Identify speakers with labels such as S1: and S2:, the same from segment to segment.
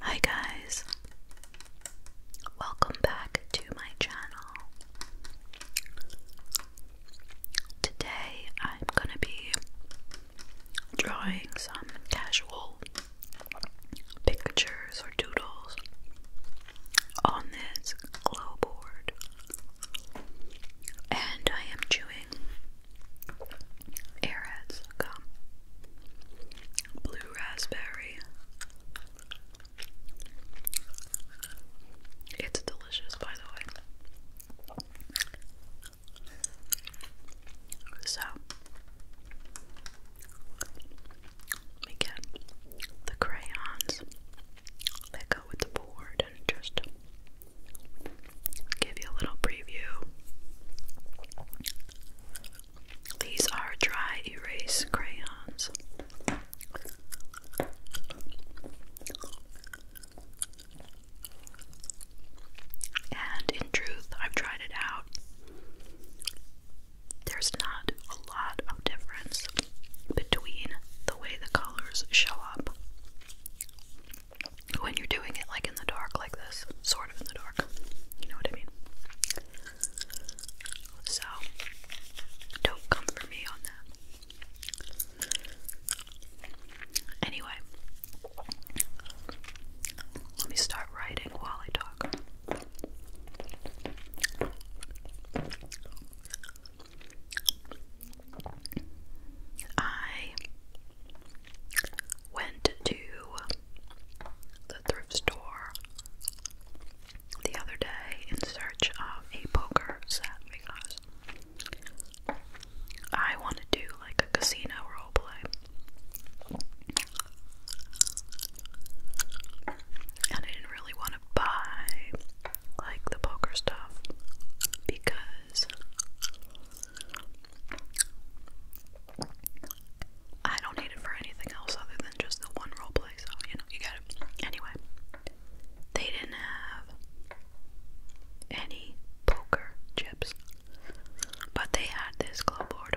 S1: Hi guys, welcome back to my channel. Today I'm going to be drawing some casual pictures or doodles on this glow board. And I am chewing Airheads gum, blue raspberry. It's delicious, by the way. So, let the crayons that go with the board just give you a little preview. These are dry erase crayons. And in truth, I've tried it out. There's not a lot of difference between the way the colors show up when you're doing it like in the dark, like this, sort of in the dark. You know what I mean? So, don't come for me on that. Anyway, let me start writing while I talk. I went to the thrift store the other day in search of a poker set because I want to do like a casino role play. And I didn't really want to buy like the poker stuff because because I don't need it for anything else other than just the one roleplay, so you know, you get it. Anyway, they didn't have any poker chips, but they had this glow board.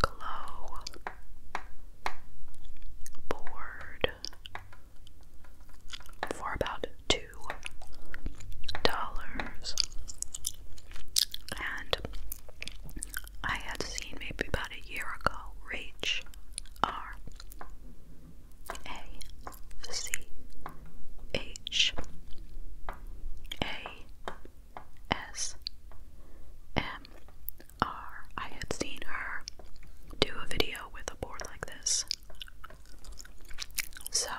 S1: Glow board for about 2 dollars. And I had seen maybe about a year ago Reach R A C H A S M R. I had seen her do a video with a board like this so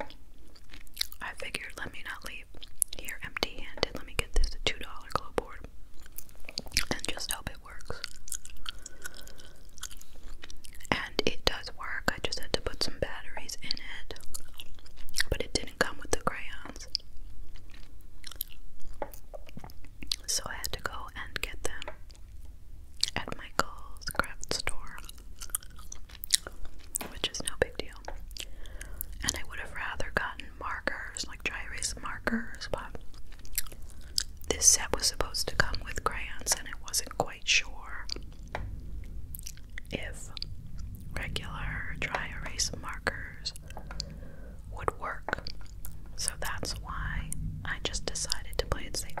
S1: I figured let me not leave here empty handed. Let me get this $2 glow and just hope it works. And it does work. I just had to put some batteries in it. But it didn't come with the crayons. So I had to go and get them at Michael's craft store, which is no big deal. And I would have rather gotten markers, like dry erase markers, but this set was supposed to come with crayons, and I wasn't quite sure if regular dry erase markers would work. So that's why I just decided to play it safe.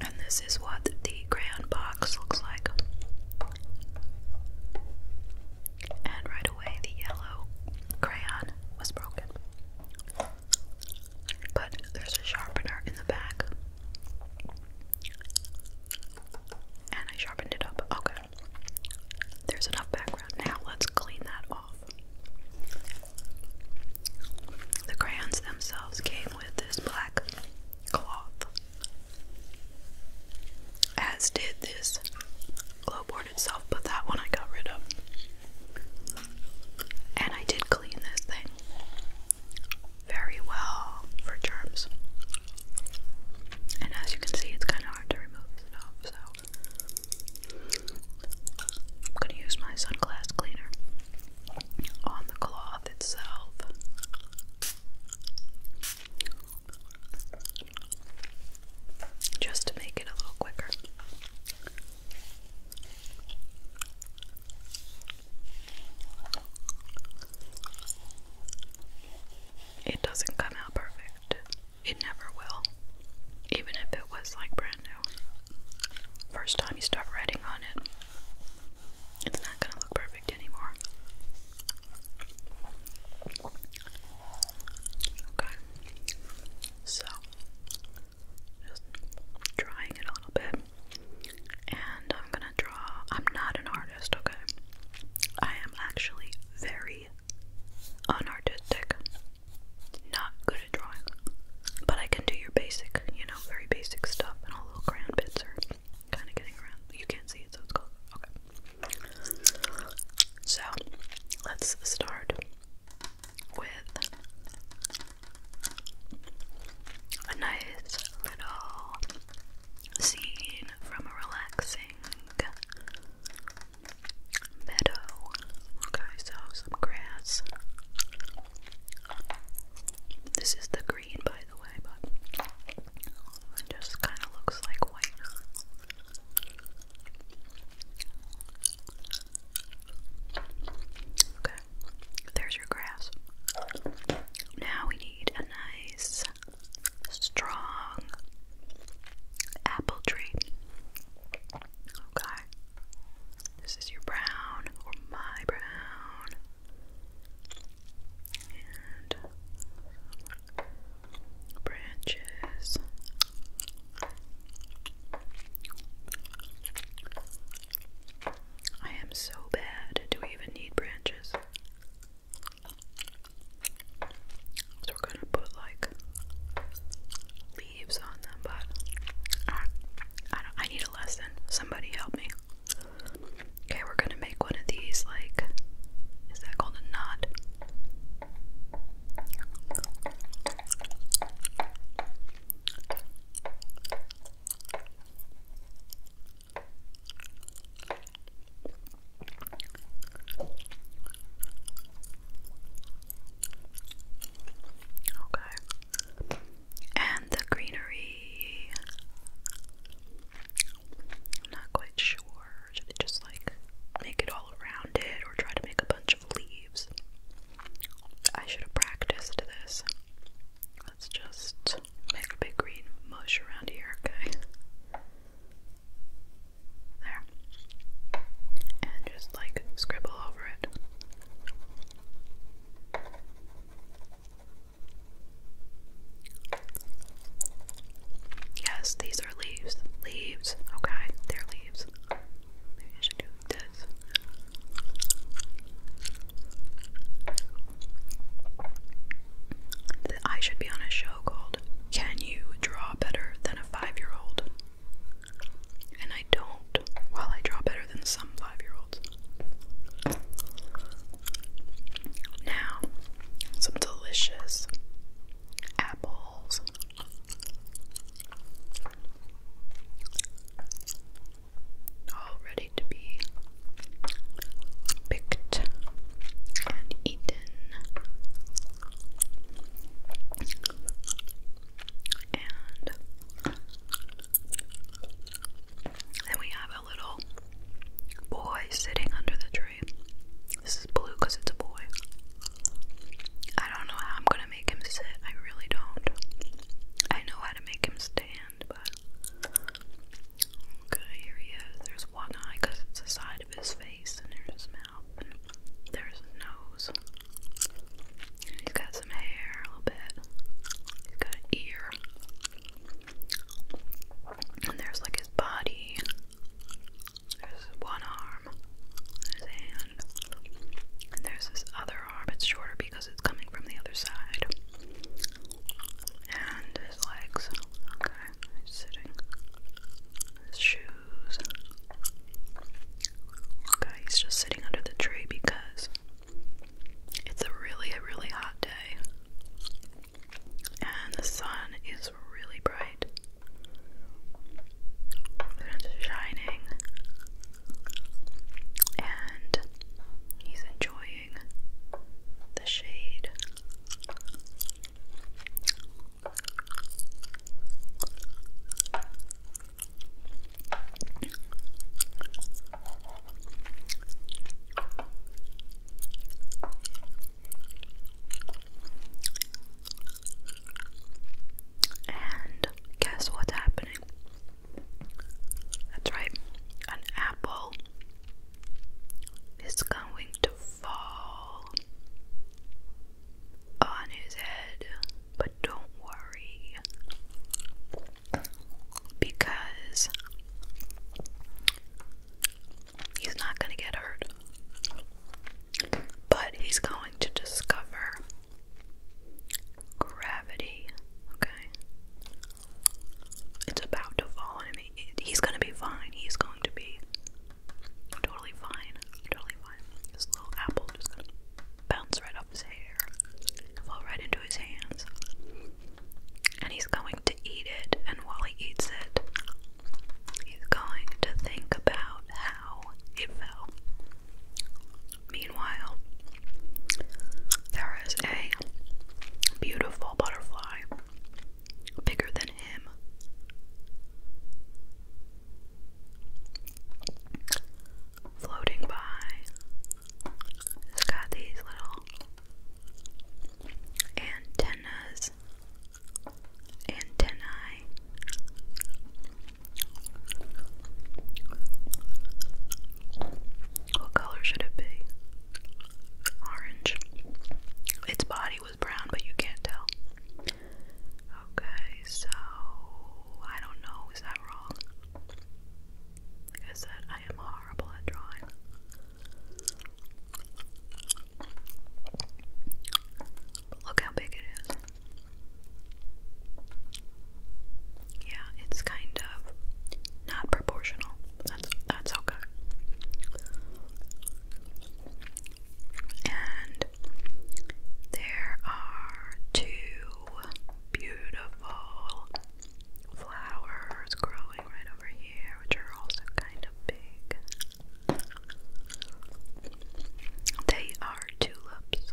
S1: And this is what the crayon box looks like. And right away, the yellow crayon was broken. But there's a sharpener in the back. And I sharpened it up. Okay. There's enough background. Now let's clean that the crayons themselves came with this black cloth, as did this glow board itself, but that one I got rid of. And I did clean this thing very well for germs. And as you can see, it's kind of hard to remove stuff, so I'm gonna use my sunglass cleaner on the cloth itself. Just to make it a little quicker. It doesn't come out perfect. It never will. Even if it was like brand first time you start writing on it, it's not going to look perfect anymore. Okay, so just drawing it a little bit, and I'm gonna draw. I'm not an artist, okay? I am actually very unartistic not good at drawing, but I can do your basic, you know, very basic stuff, and all little crayon bits are kind of getting around. You can't see it, so it's called okay. So let's start with a nice little scene from a relaxing meadow. Okay, so some grass. This is the green, by the way, but it just kind of looks like white. Okay, there's your grass. Now we need a nice, strong apple tree. Okay. This is your brown or my brown. And branches. I am so bad. Do we even need branches? So we're gonna put like leaves on them, but I I need a lesson. Somebody help me. Okay, we're gonna make one of these. Like, is that called a knot? Okay. And the greenery. I'm not quite sure. Should it just like make it all around it or try to make a bunch of leaves? I should have practiced this. Let's just make a big green mush around here, okay? There. And just like scribble over it. Yes, these are leaves. Leaves. Okay, they're leaves. Maybe I should do this. I should be on a show called Can You Draw Better Than a Five Year Old? And I don't, while I draw better than some five year olds. Now, some delicious apples. All ready to be picked and eaten. And then we have a little boy sitting under the tree. This is blue because it's a boy. I don't know how I'm gonna make him sit. I really don't. I know how to make him stand, but. Okay, here he is. There's one eye because it's the side of his face, and there's his mouth and there's his nose. He's got some hair a little bit. He's got an ear. And there's like his body. There's one arm. His hand. And there's this other arm. It's shorter because it's coming from the other side. And his legs. Okay, he's sitting. His shoes he's just sitting under the tree because it's a really, really hot day. And the sun is really bright. And shining. And he's enjoying the shade. And guess what's happening? That's right, an apple is going to fall on his head. But don't worry because he's not going to get hurt. But he's going to discover gravity, okay? It's about to fall. I he's going to be fine. He's going to be totally fine. Totally fine. This little apple just bounce right off his hair, fall right into his hands. And he's going to eat it, and while he eats it, he's going to think about how it fell. Meanwhile, there is a beautiful butterfly bigger than him floating by. It's got these little antennas, antennae. What color should it be? Orange. Its body was brown, but you can't tell. Okay, so I don't know, is that wrong? Like I said, I am horrible at drawing. look how big it is. Yeah, it's kind of not proportional. That's that's okay and there are two beautiful flowers growing right over here, which are also kind of big. They are tulips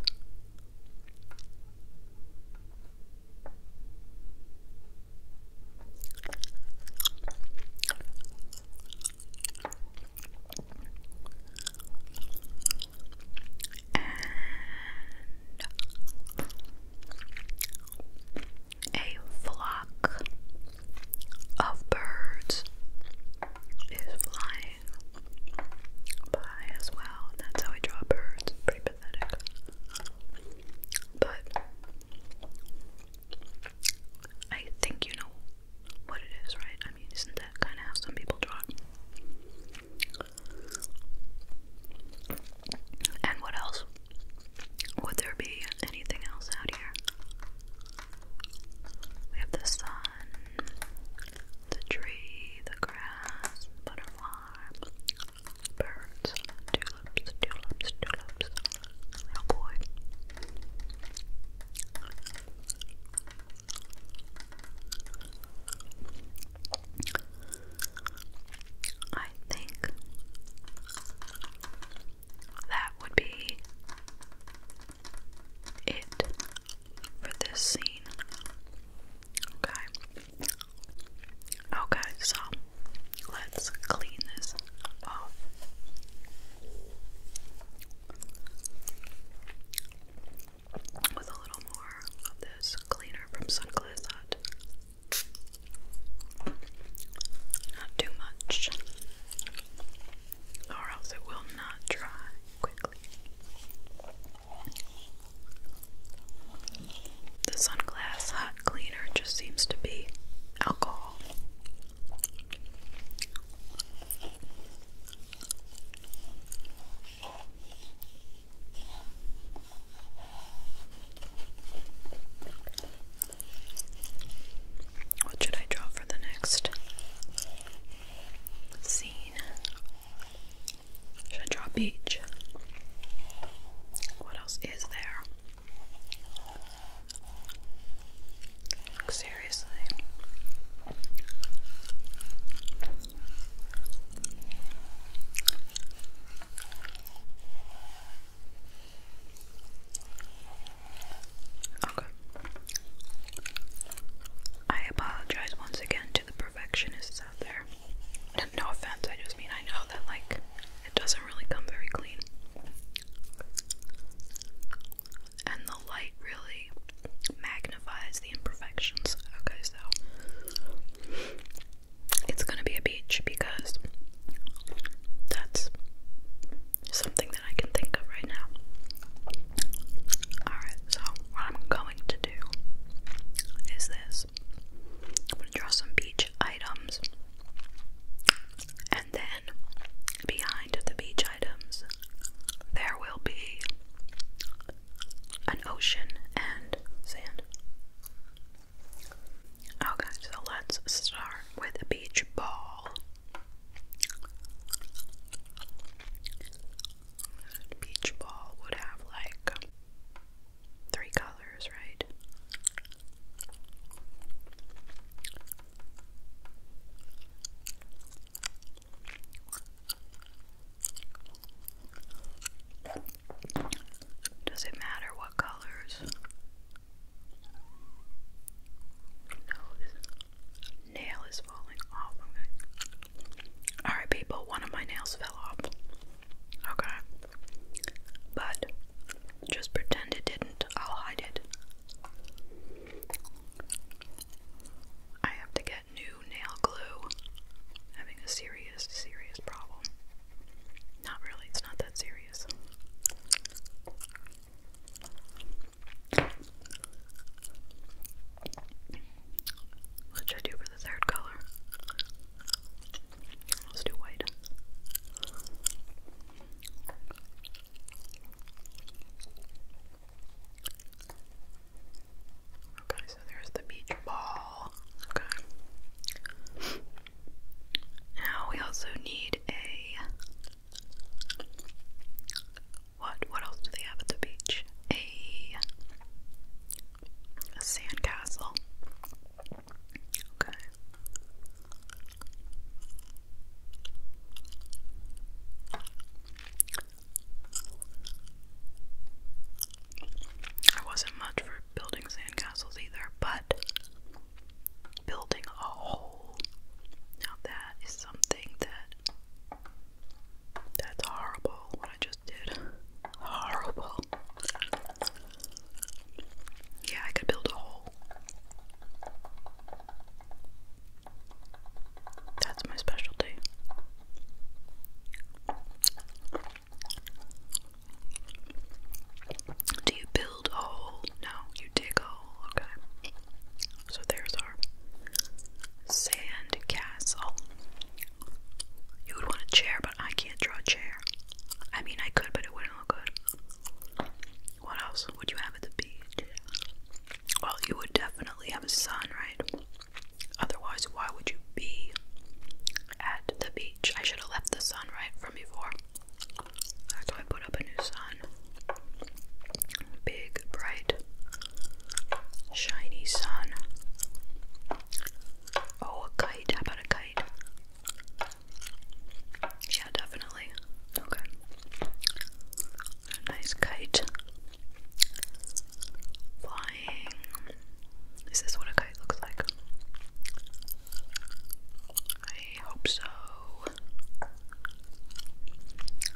S1: and a flock of birds is flying by as well. That's how I draw birds. Pretty pathetic. But I think you know what it is, right? I mean, isn't that kind of how some people draw And what else? Would there be anything else out here? We have the sun, the tree, the grass, butterfly, birds, tulips, tulips, tulips. Oh boy. I think that would be it for this scene. Okay. Okay, so let's clean this off with a little more of this cleaner from Sunclass Hut. Not too much, or else it will not dry quickly. The Sunglass Hot Cleaner just seems to be alcohol. What should I draw for the next scene? Should I draw a beach? What else is there? Seriously. Okay. I apologize once again to the perfectionists out there. No offense, I just mean I know that, like, it doesn't really come very clean and the light really magnifies the imperfections. Okay, so it's gonna be a beach because that's something that I can think of right now. Alright, so what I'm going to do is this I'm gonna draw some beach items and then Behind the beach items, there will be an ocean and sand. Okay, so let's start with a beach ball. beach ball would have like three colors, right? Does it matter what colors? No, this nail is falling off. Alright, people, one of my nails fell off. Okay. But just pretend it didn't. I'll hide it. I have to get new nail glue. am having a serious, serious problem. Not really, it's not that serious. What should I do for the third color? Let's do white. Okay, so there's the beach ball. Okay. Now we also need a what? What else do they have at the beach? A a sandcastle. Okay. I wasn't much for building sandcastles either, but building a hole now that is something that that's horrible what I just did. Horrible. Yeah, I could build a hole. That's my specialty. Do you build a hole? No, you dig a hole. Okay. So there's our sand castle. You would want a chair, but I can't draw a chair. I mean, I could, but it wouldn't look good. What else would you have at the beach? Well, you would definitely have a sun, right? Otherwise, why would you be at the beach? I should have left the sun right from before. That's why I put up a new sun. Big, bright, shiny sun. Oh, a kite. How about a kite? Yeah, definitely. Okay. A nice kite. Flying. Is this what a kite looks like? I hope so.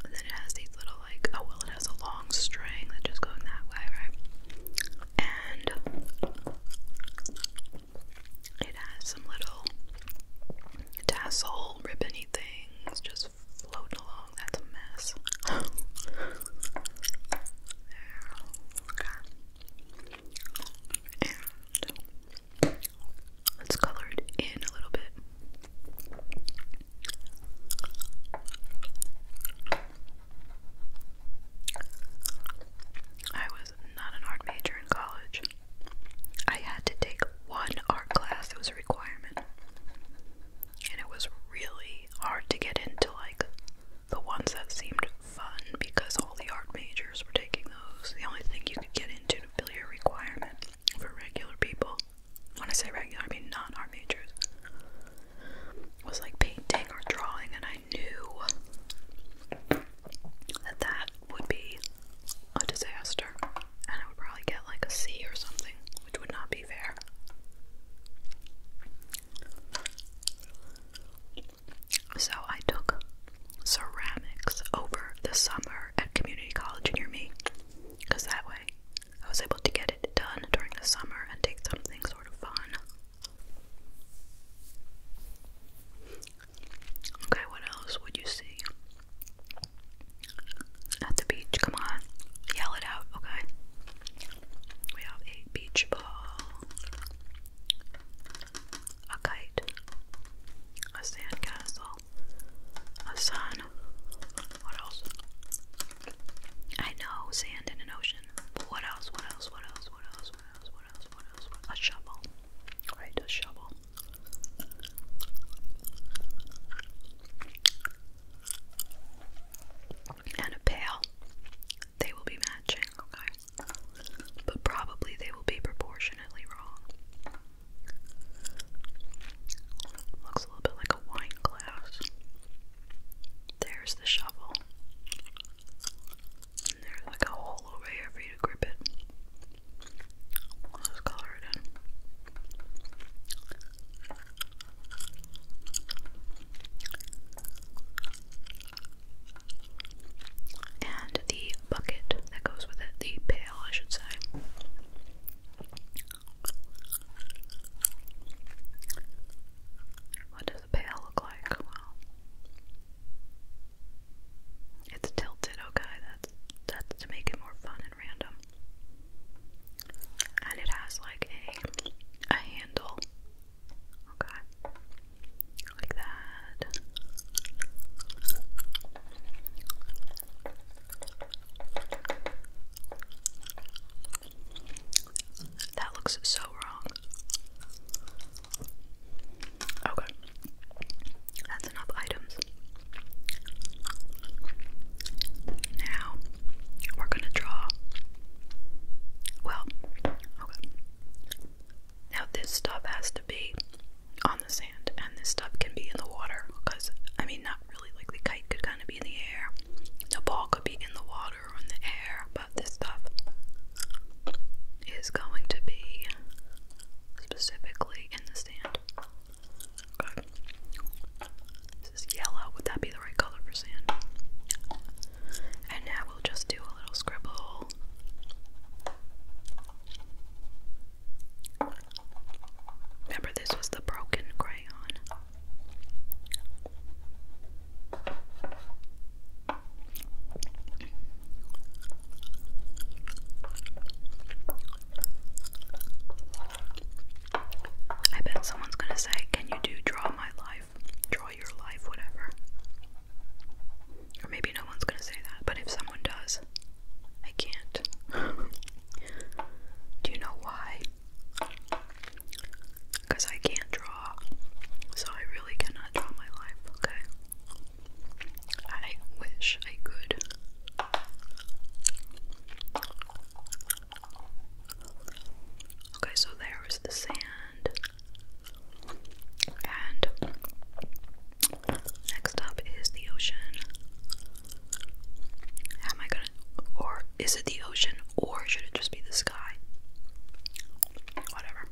S1: And then it has these little, like, oh, well, it has a long string that's just going that way, right? And it has some little tassel ribbony things just floating along. Oh, that's a mess. let's color it in a little bit. I was not an art major in college. I had to take like one art class that was a requirement. And it was really hard to get into like the ones that seemed fun because all the art majors were taking those. The only thing you could get into to fill your requirement for regular people, when I say regular, I mean non art majors, was like painting or drawing, and I knew that that would be a disaster and I would probably get like a C or something which would not be fair. So I took ceramics over the summer at community college near me because that way I was able to get it done during the summer and take something sort of fun. Okay, what else would you see? at the beach. Come on, yell it out, okay? We have a beach ball, a kite, a sandcastle, a sun. What else? I know sand in an ocean, but What else? What else? What else? What else? What else? What else? What else? A shovel, right? A shovel and a pail. They will be matching, okay? But probably they will be proportionately wrong. Looks a little bit like a wine glass. There's the shovel. And there's like a hole over here for you to grip it let And the bucket that goes with it, the pail, I should say. What does the pail look like? Well, it's tilted, okay that's to make it more fun and random. And it has like a a handle. Okay. Like that. That looks so wrong. Okay enough items. Now we're gonna draw. Well, Now this stuff has to be on the sand, and this stuff can be in the water. Cause I mean, not really. Like the kite could kind of be in the air. The ball could be in the water or in the air, but this stuff is going to be specifically in the sand. This is yellow. Would that be the right color for sand? And now we'll just do a little scribble. Remember, this was the broken crayon. I bet someone's gonna say, Can you do draw my life? Draw your life, whatever. Or maybe no one's gonna say that, but if someone does, I can't. do you know why? Because I can't draw. So I really cannot draw my life, okay? I wish I could. Okay, so there was the sand. And next up is the ocean. am I gonna. Or is it the ocean, or should it just be the sky? Whatever.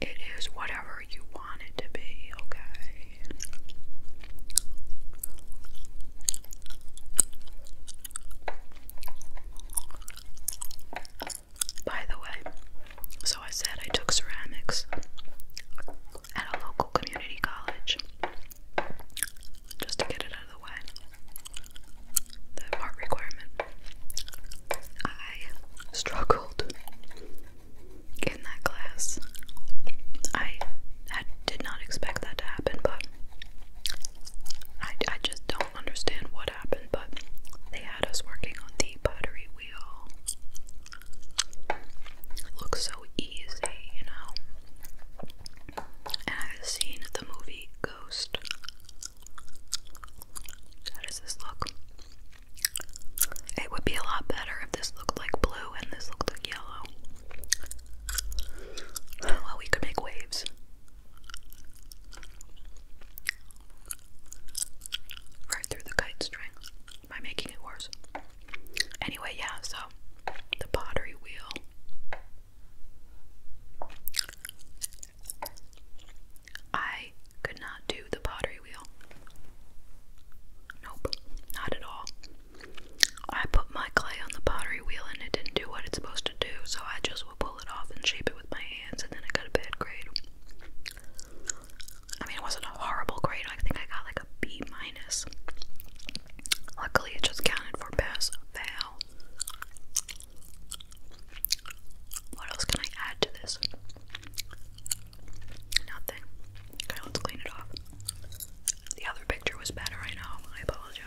S1: It is whatever you want it to be, okay? By the way, so I said I took ceramics at a local community college just to get it out of the way. The part requirement. I struggled in that class. I did not expect that to happen, but I, just don't understand what happened. But they had us working on the pottery wheel. looks so easy, you know. And I've seen the movie Ghost. How does this look? It would be a lot better if this looked like blue and this looked like yellow. Well, we could make waves. Right through the kite string by making it worse. Anyway, yeah, so the pottery wheel. I could not do the pottery wheel. Nope, not at all. I put my clay on the pottery wheel and it didn't do what it's supposed to do, so I just would pull it off and shape it with my hands, and then I got a bad grade. I mean, it wasn't a horrible grade, I think I got like a B minus. Luckily, it just counted for pass fail. What else can I add to this? Nothing. Okay, let's clean it off. The other picture was better, I know. I apologize.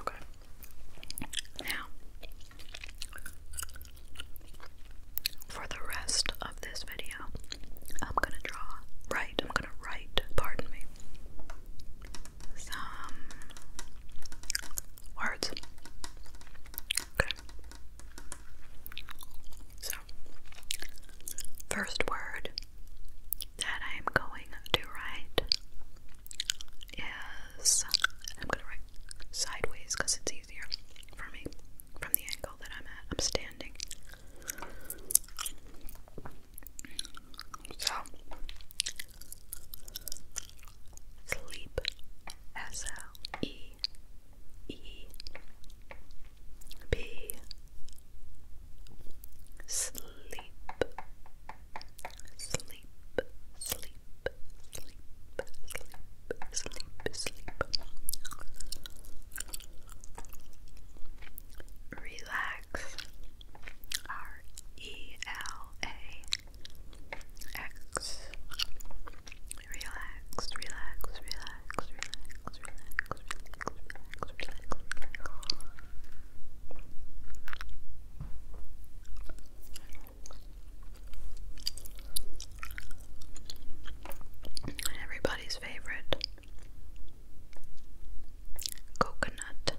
S1: Okay. Now, for the rest of this video, I'm going to draw, write, I'm going to write, pardon me, some words. Okay. First word that I'm going to write is I'm going to write sideways because it's easier for me from the angle that I'm at. I'm standing. So, sleep. S L E E B sleep sleep sleep sleep sleep sleep sleep relax R E L A X relax relax relax relax, relax, Everybody's favorite coconut.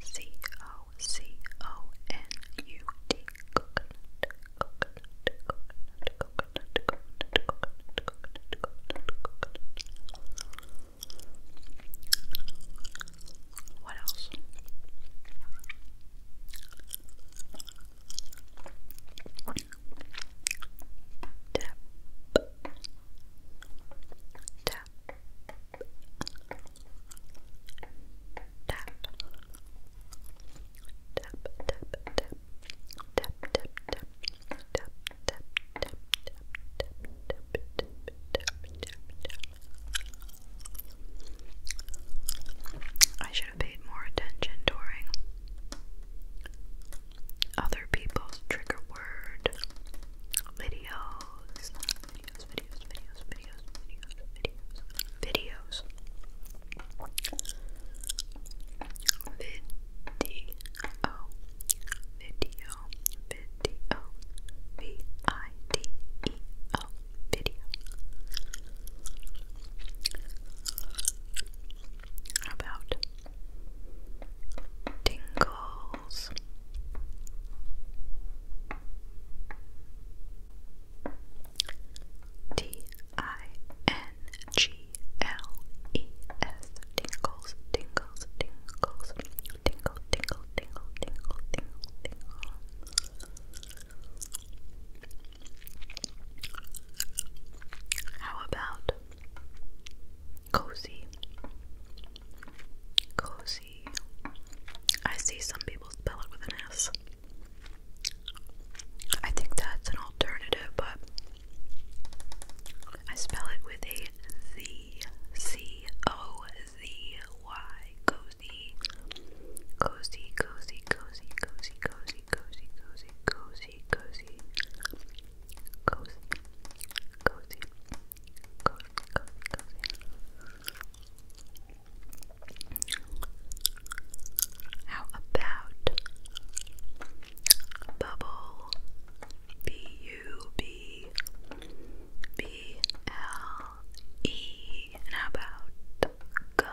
S1: C O C O N U T coconut. What else? Tap. Tap. Tap. I should have paid more attention during other people's trigger word videos videos, videos, videos, video, video, video, v i d e o, video. How about tingles? T I N G L E S tingles, tingles, tingles, tingle, tingle, tingle, tingle, tingle. How about cozy? Cozy. I see some people spell it with an S. I think that's an alternative, but I spell it with a Z C O Z Y cozy cozy cozy cozy cozy cozy cozy cozy cozy cozy cozy cozy cozy cozy cozy how about bubble B U B B L E? And how about gum?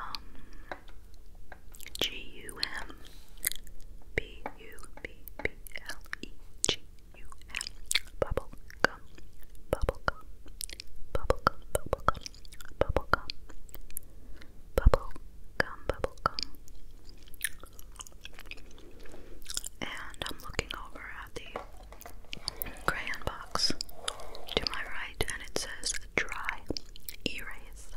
S1: G U M B U B B L E G U M bubble gum bubble gum bubble gum bubble gum bubble gum bubble gum, bubble gum. And I'm looking over at the crayon box to my right, and it says dry erase.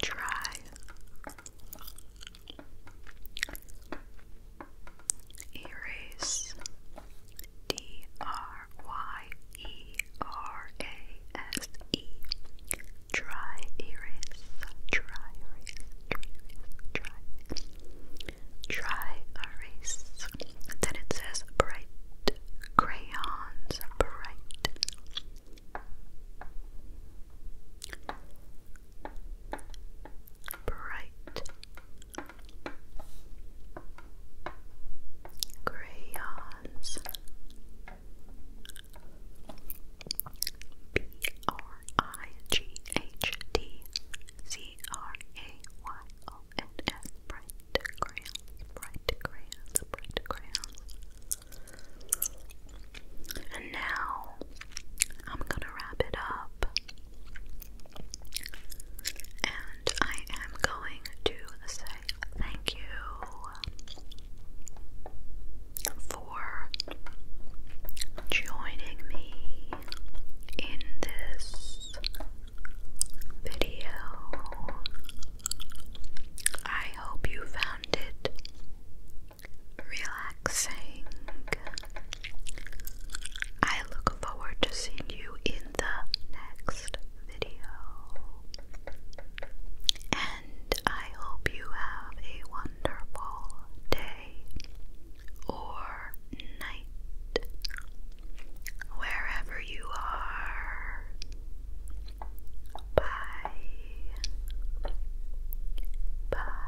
S1: Dry erase. D R Y E R A S E. Dry erase, dry erase, dry erase, dry. Dry erase. Then it says bright crayons, bright. Bright crayons B R I G H D C R A Y O N S bright crayons bright crayons bright crayons and now I'm gonna wrap it up and I am going to say thank you for joining me in this video. I hope you found it relaxing. I look forward to seeing you in the next video. And I hope you have a wonderful day or night wherever you are. Bye. Bye.